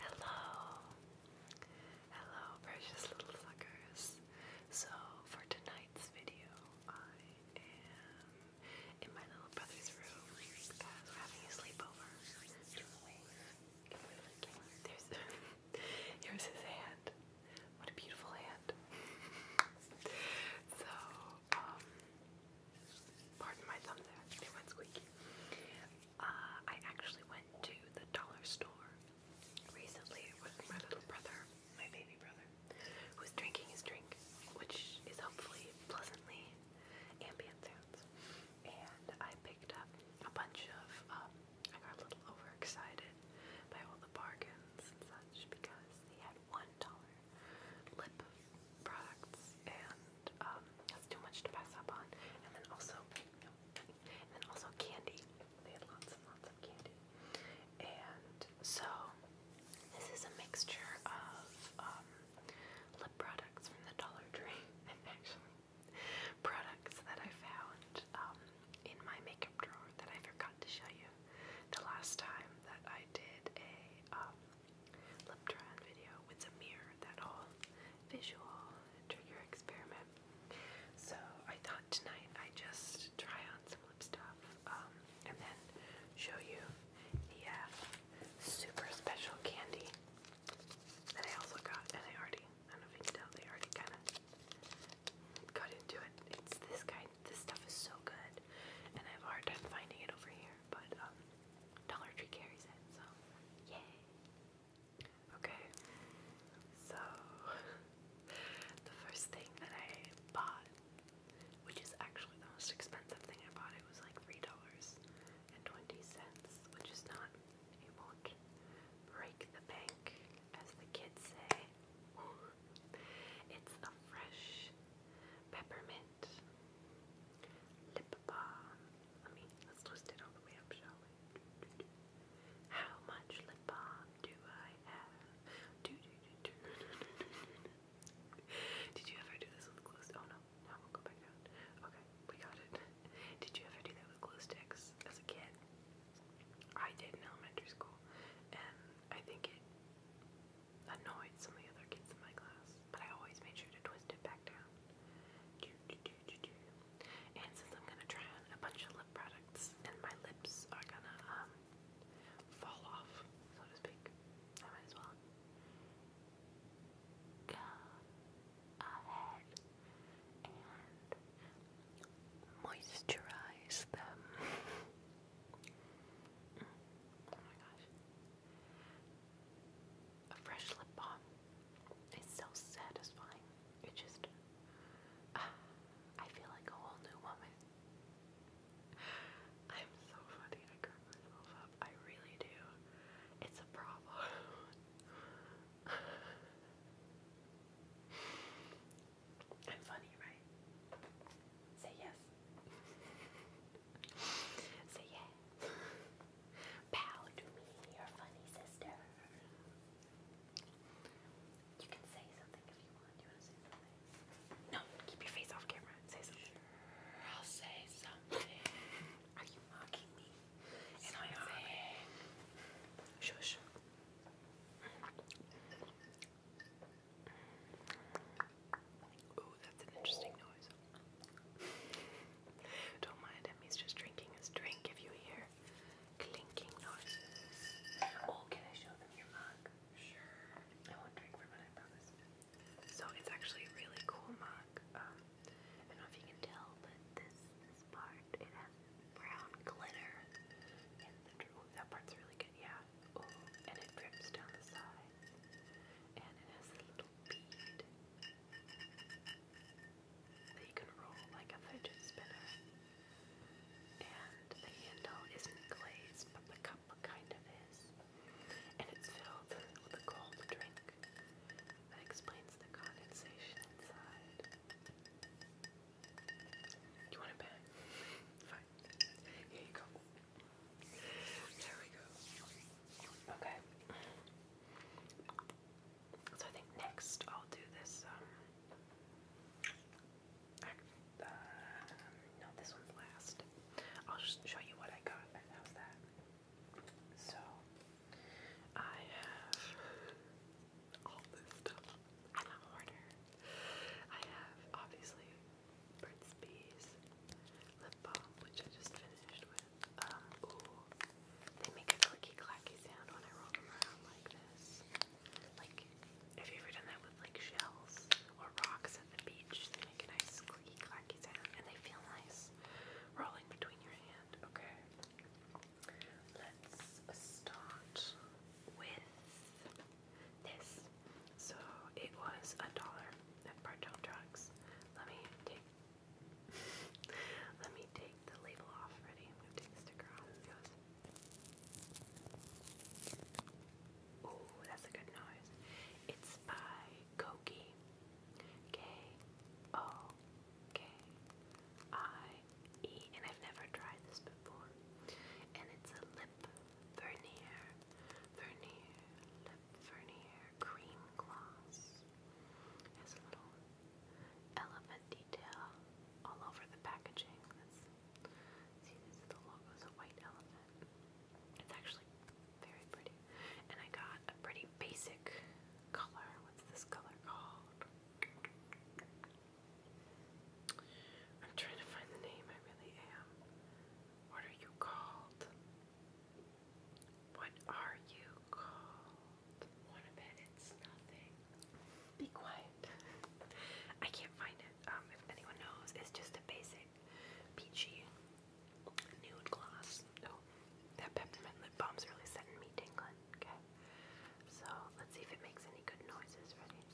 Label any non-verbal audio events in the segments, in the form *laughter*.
Hello, hello, precious little suckers. So, for tonight's video, I am in my little brother's room we're having a sleepover. There's *laughs* here's his hand. What a beautiful hand. *laughs* so, um, pardon my thumb there, went squeaky. Uh, I actually went to the dollar store recently with my little brother, my baby brother, who was drinking his drink, which is hopefully pleasantly ambient sounds. And I picked up a bunch of, um, I got a little overexcited by all the bargains and such because they had $1 lip products, and um, that's too much to pass up on. And then also, and then also candy. They had lots and lots of candy. And so, this is a mixture of um, lip products from the Dollar Tree, *laughs* and actually products that I found um, in my makeup drawer that I forgot to show you the last time that I did a. Um, Leptron video with a mirror, that whole visual trigger experiment. So I thought tonight i just try on some lip stuff um, and then show you the uh, super special candy that I also got and I already, I don't know if you can tell, they already kind of got into it. It's this kind, this stuff is so good and I have a hard time finding it over here but um, Dollar Tree carries it, so yay! Okay, so *laughs* the first thing that I bought, which is actually the most expensive thing I bought, it was like three dollars and twenty cents, which is not, it will break the bank, as the kids say. *laughs* It's a fresh peppermint, lip balm. Let me, let's twist it all the way up, shall we? How much lip balm do I have? Did you ever do this with glue Oh no, no, go back down. Okay, we got it. Did you ever do that with glue sticks as a kid? I did in elementary school, and I think it annoyed some of the other kids in my class, but I always made sure to twist it back down. And since I'm gonna try on a bunch of lip products and my lips are gonna um, fall off, so to speak, I might as well go ahead and moisturize them. *laughs* Oh my gosh. A fresh lip balm is so satisfying. It just, I feel like a whole new woman. I'm so funny, I curve myself up. I really do. It's a problem. *laughs* I'm funny, right? Say yes so *laughs* yeah, bow to me, your funny sister. You can say something if you want. you want to say something? No, keep your face off camera. Say something. Sure, I'll say something. Are you mocking me? And I'm shush. Ooh, that's an interesting noise. *laughs* Don't mind him, he's just drinking his drink if you hear clinking noises. Oh, can I show them your mug? Sure. I will drink from it, I promise. So it's actually really cool mug. Um, I don't know if you can tell, but this, this part, it has brown glitter in that part's really good yeah. Oh, and it drips down the sides. And it has a little bead that you can roll like a fidget spinner. And the handle isn't glazed, but the cup kind of is. And it's filled with a cold drink that explains the condensation inside. you want a bag? *laughs* Fine. Here you go. There we go. Okay. So I think next I'll do this. Um, uh, no, this one's last. I'll just show you what I got. How's that? So I have all this stuff in order. I have obviously Burt's lip balm, which I just finished with. Um, they make a clicky clacky sound when I roll them around like this. Like, have you ever done that with like shells or rocks at the beach? They make a nice clicky clacky sound, and they feel nice rolling between your hand. Okay, let's start with this. So it was a dollar at Bartell Drugs. Let me take *laughs* let me take the label off already. I'm gonna take the sticker off. Oh, that's a good noise. It's by Koki. K O K I E and I've never tried this before. And it's a lip Vernier, Vernier, Lip Vernier Cream Gloss. Has a little elephant detail all over the packaging. see, this the logo, is white elephant. It's actually very pretty. And I got a pretty basic color. What's this color called? I'm trying to find the name, I really am. What are you called? What are you called? One of it, it's nothing. Be quiet. I can't find it. Um, if anyone knows, it's just a basic peachy nude gloss. Oh, that peppermint lip balm's really setting me tingling. Okay. So let's see if it makes any good noises. Ready?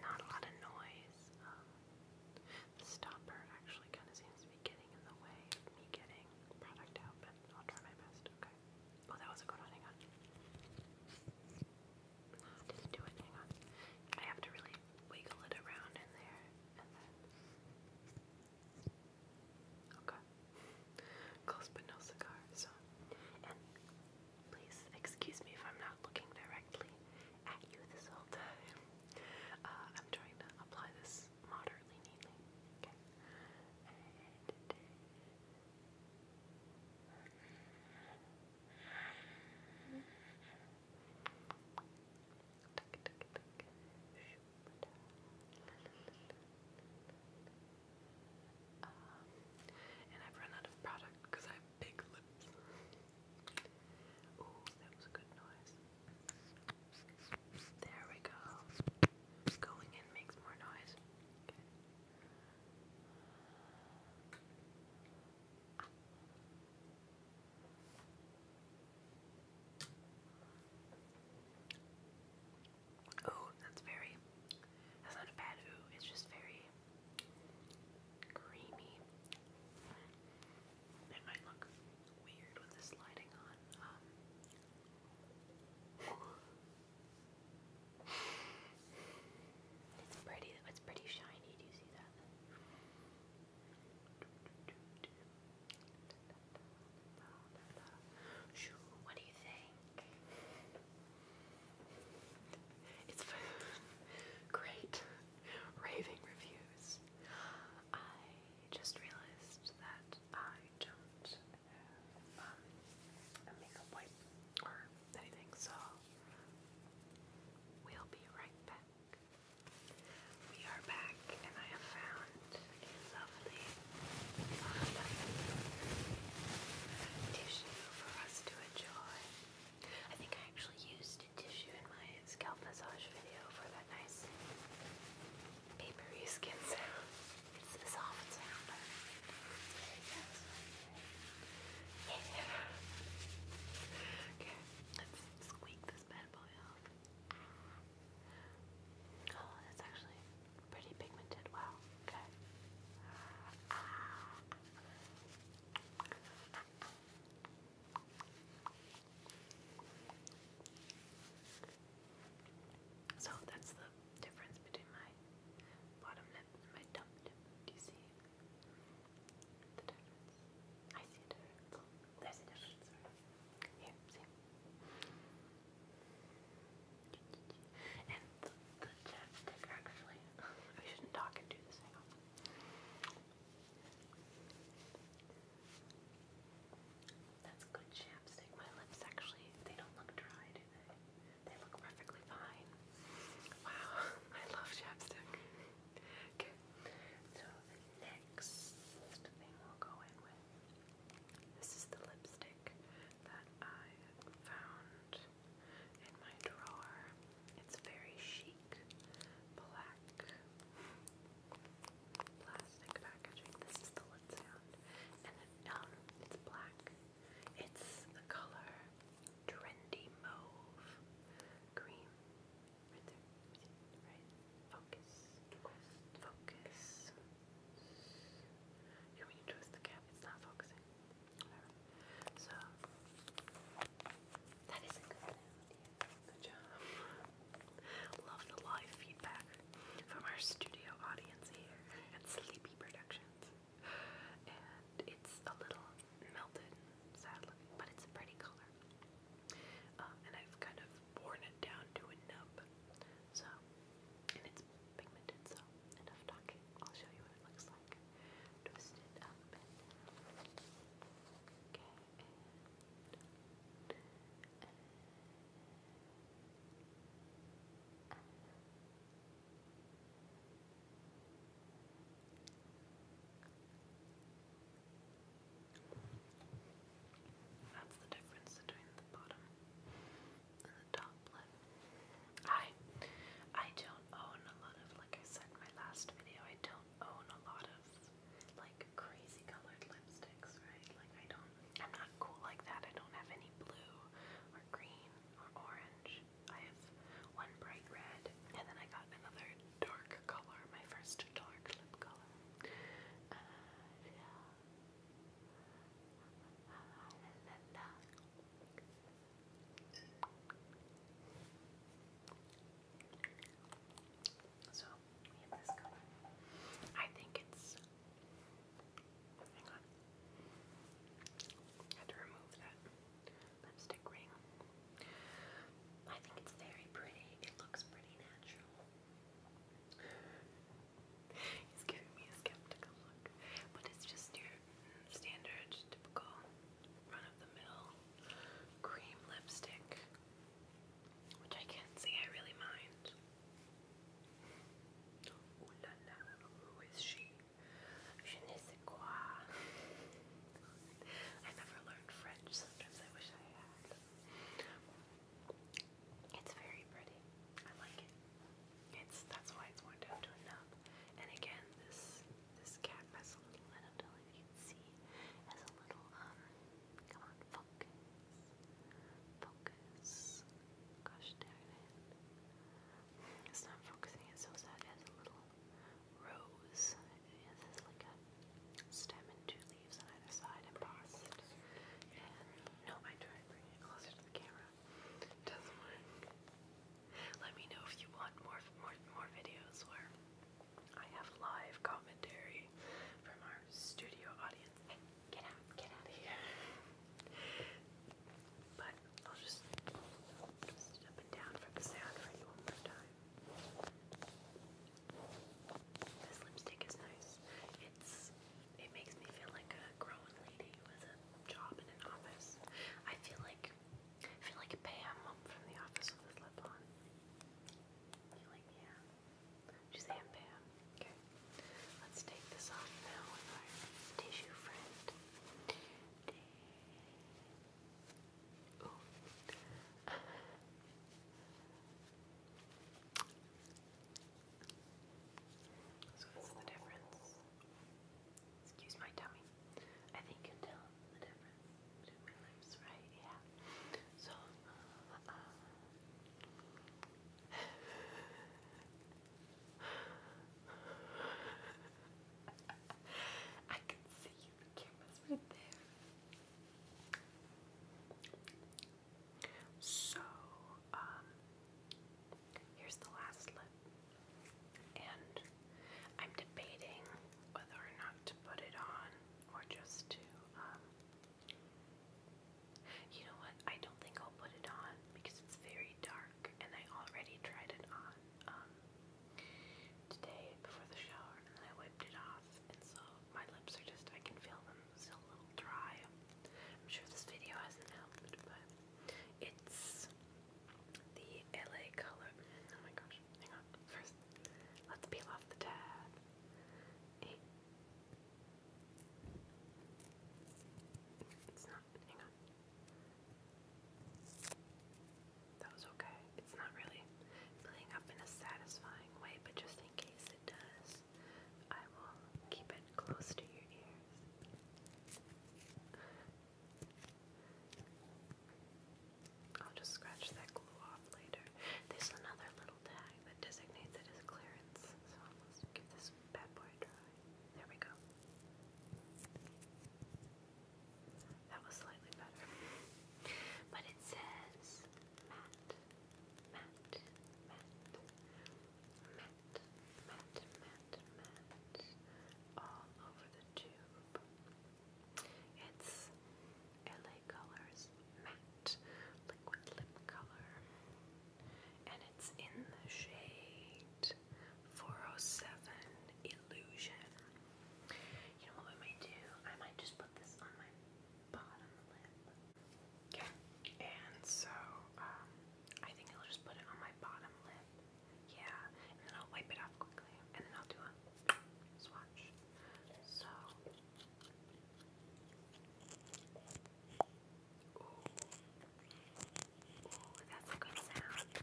Not a lot of noise. Um, the stopper actually kind of seems to be getting in the way of me getting product out, but I'll try my best. Okay. Oh, that was a good one. Hang on. Ah, didn't do it. Hang on. I have to really wiggle it around in there Okay. Close but no cigar, so. please excuse me if I'm not looking directly at you this whole time. Uh, I'm trying to apply this moderately neatly. Okay. And Tuck, uh, tuck, tuck. Shoo. Um, and I've run out of product because I have big lips. Ooh, that was a good noise. There we go. Going in makes more noise. Ooh, that's very, that's not a bad ooh, it's just very creamy. It might look weird with this lighting on. Um, it's pretty, it's pretty shiny, do you see that? What do you think? It's great. Raving reviews. I just realized that I don't have um, a makeup wipe or anything, so we'll be right back. We are back back and I have found a lovely tissue for us to enjoy. I think I actually used tissue in my scalp massage video for that nice papery skin sound. It's a soft sound. Yeah. *laughs* Okay, let's squeak this bad boy off. Oh, that's actually pretty pigmented. Wow, okay. So that's the difference between my bottom lip and my top lip. Do you see the difference? I see a There's a difference. Here, see. And I shouldn't talk and do this, That's good chapstick. My lips actually, they don't look dry, They look perfectly fine. Wow, *laughs* I love chapstick. *laughs* okay, so the next thing we'll go in with this is the lipstick that I found in my drawer. It's very chic, black, plastic packaging. This is the lip sound, and it, um, it's black. It's the color trendy mauve cream, right? Focus. Focus. You want me the cap? It's not focusing. So, that is a good idea. Good job. Love the live feedback from our studio audience here at Sleepy Productions. And it's a little melted, sadly, but it's a pretty color. Uh, and I've kind of worn it down to a nub. So, and it's pigmented, so enough talking. I'll show you what it looks like. Twist it Okay, that's the difference between the bottom and the top lip. I I don't own a lot of like I said in my last video, I don't own a lot of like crazy colored lipsticks, right? Like I don't I'm not cool like that. I don't have any blue or green or orange. I have one bright red and then I got another dark color, my first dark lip color. Uh, yeah. La, la, So I think it's. Hang on. had to remove that lipstick ring. I think it's very pretty. It looks pretty natural. He's giving me a skeptical look. But it's just your standard, typical, run of the mill cream lipstick. Which I can't say I really mind. Ooh la who is she? Je ne quoi. *laughs* I never learned French, sometimes I wish I had. It's very pretty. I like it. It's that's why it's warmed up to a nub. And again, this this cap has a little. I don't know if you can see. Has a little um. Come on, focus, focus. Gosh darn it! It's not focusing. It's so sad. It has a little rose. It has like a stem and two leaves. I Let me know if you want more more more videos where I have live commentary from our studio audience. Hey, get out, get out of here. But I'll just twist it down for the sound for you one more time. This lipstick is nice. It's it makes me feel like a grown lady with a job in an office. I feel like feel like Pam from the office with this lip on. feel like yeah. She's Aunt Pam. Okay. Let's take this off now with our tissue friend. Ooh. So what's the difference? Excuse my tummy. I think you can tell the difference my lips, right? Yeah. So, uh, *laughs* I can see you. The camera's right there. So, um, here's the last lip. And I'm debating whether or not to put it on or just to, um, you know what? I don't think I'll put it on because it's very dark and I already tried it on, um, today before the shower and I wiped it off. And so my lips are just, I can feel them still a little dry. I'm sure this video hasn't helped, but it's the LA color. Oh my gosh, hang on. First, let's peel off the tab. It's not, hang on. That was okay. It's not really filling up in a satisfying way, but just in case it does, ears. I will keep it close to your ears. I'll just scratch that glue off later. There's another little tag that designates it as clearance, so let's give this bad boy a There we go. That was slightly better. But it says matte matte, matte, matte, matte, matte, matte, all over the tube. It's LA Colors Matte Liquid Lip Color, and it's in the shade 407 Illusion. You know what we might do? I might just put this on my bottom lip. Okay, and so um, I think I'll just put it on my bottom lip. Yeah, and then I'll wipe it off quickly, and then I'll do a swatch. So, ooh, ooh, that's a good sound.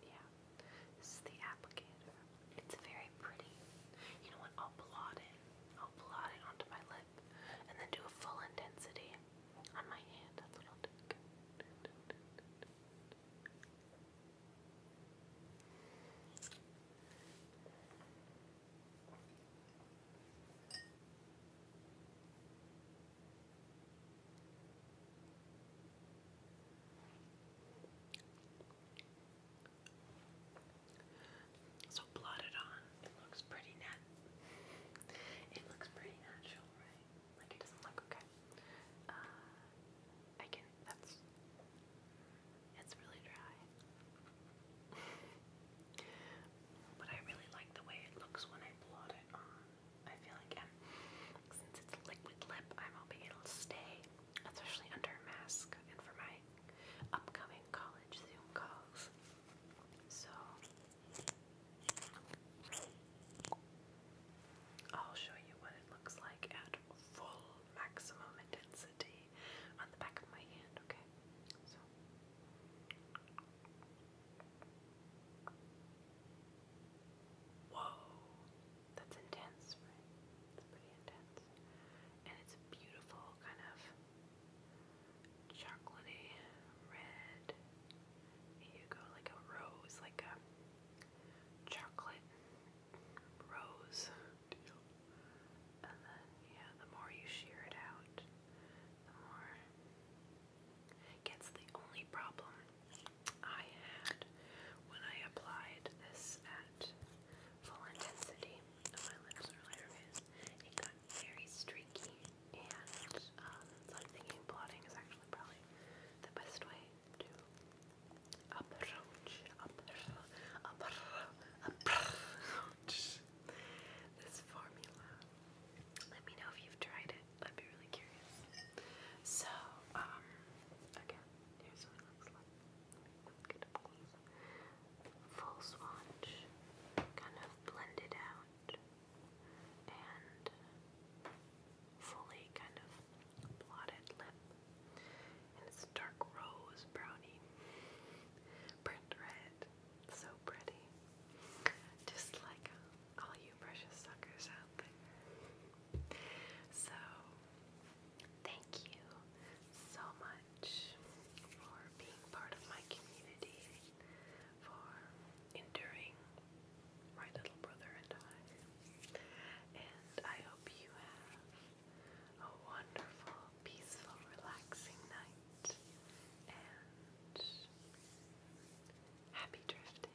Yeah. This is the applicator. It's very pretty. You know what? I'll blot it. I'll blot it onto my lip and then do a full intensity on my hand. That's what I'll do. So blotted on, it looks pretty net. It looks pretty natural, right? Like it doesn't look okay. Uh, I can. That's. It's really dry. *laughs* but I really like the way it looks when I blot it on. I feel like um, since it's liquid lip, I'm hoping it'll stay especially under a mask and for my upcoming college Zoom calls. So, I'll show you what it looks like at full maximum intensity on the back of my hand, okay? So. Whoa that's intense, right? It's pretty intense. And it's beautiful kind of chocolatey red. you go, like a rose, like a chocolate rose And then, yeah, the more you shear it out, the more gets. The only problem I had when I applied this at full intensity my lips earlier because it got very streaky and um, I'm thinking blotting is actually probably the best way to approach, this formula. Let me know if you've tried it. I'd be really curious. So, um, again, here's what it looks like. Full swatch, kind of blended out and fully kind of blotted lip. And it's dark rose brownie, burnt red, so pretty. Just like all you precious suckers out there. So, Thank you so much for being part of my community, for enduring my little brother and I. And I hope you have a wonderful, peaceful, relaxing night and happy drifting.